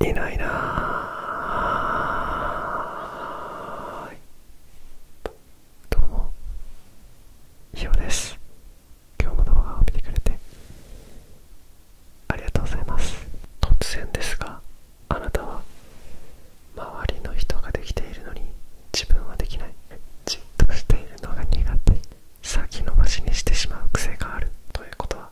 いないなどうもひよです今日も動画を見てくれてありがとうございます突然ですがあなたは周りの人ができているのに自分はできないじっとしているのが苦手先延ばしにしてしまう癖があるということは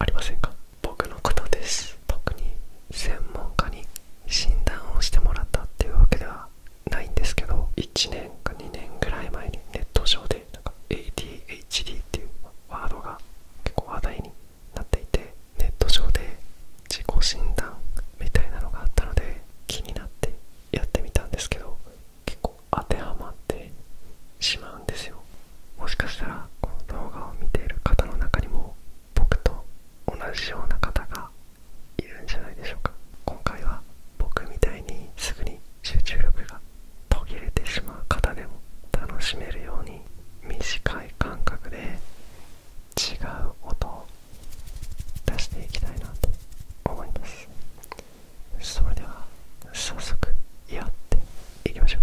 ありませんか僕のことです特に専門家に診断をしてもらったっていうわけではないんですけど1年か2年ぐらい前にネット上でなんか ADHD っていうワードが結構話題になっていてネット上で自己診断みたいなのがあったので気になってやってみたんですけど結構当てはまってしまうんですよもしかしたらこの動画を見ている方の中にも僕と同じような方がいるんじゃないでしょうか今回は僕みたいにすぐに集中力が途切れてしまう方でも楽しめるように短い感覚で違う音を出していきたいなと思いますそれでは早速やっていきましょう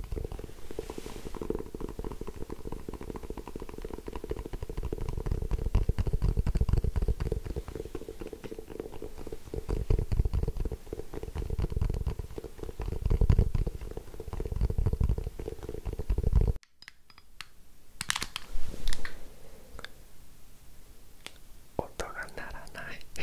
音が鳴らない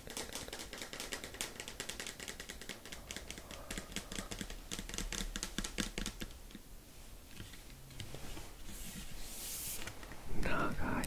長い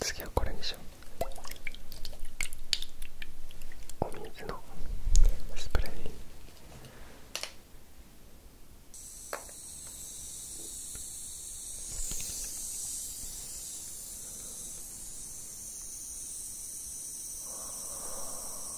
次はこれにしようお水のスプレー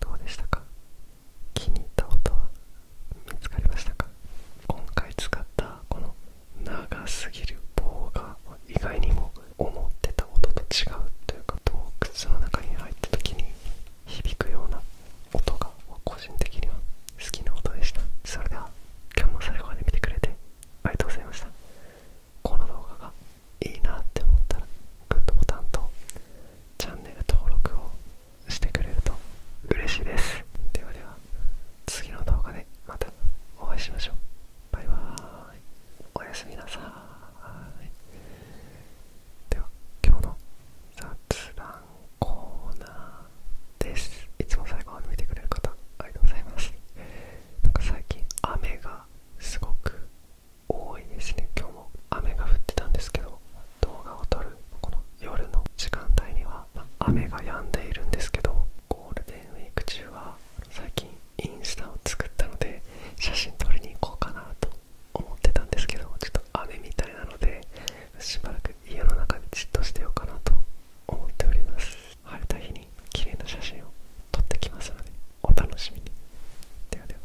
どうでしたか気に入った音は見つかりましたか今回使ったこの長すぎる棒が意外にも思ってた音と違うというか洞窟の中に入った時に響くような音が個人的には好きな音でしたそれでは今日も最後まで見てくれてありがとうございましたこの動画がいいなって思ったらグッドボタンとチャンネル登録をしてくれると嬉しいですではでは次の動画でまたお会いしましょうバイバーイおやすみなさいでは今日の雑談コーナーですいつも最後まで見てくれる方ありがとうございますなんか最近雨がすごく多いですね今日も雨が降ってたんですけど動画を撮るこの夜の時間帯には、ま雨が止んでいるんですけどゴールデンウィーク中は最近インスタを作ったので写真撮りに行こうかなと思ってたんですけどちょっと雨みたいなのでしばらく家の中でじっとしてようかなと思っております晴れた日に綺麗な写真を撮ってきますのでお楽しみにではでは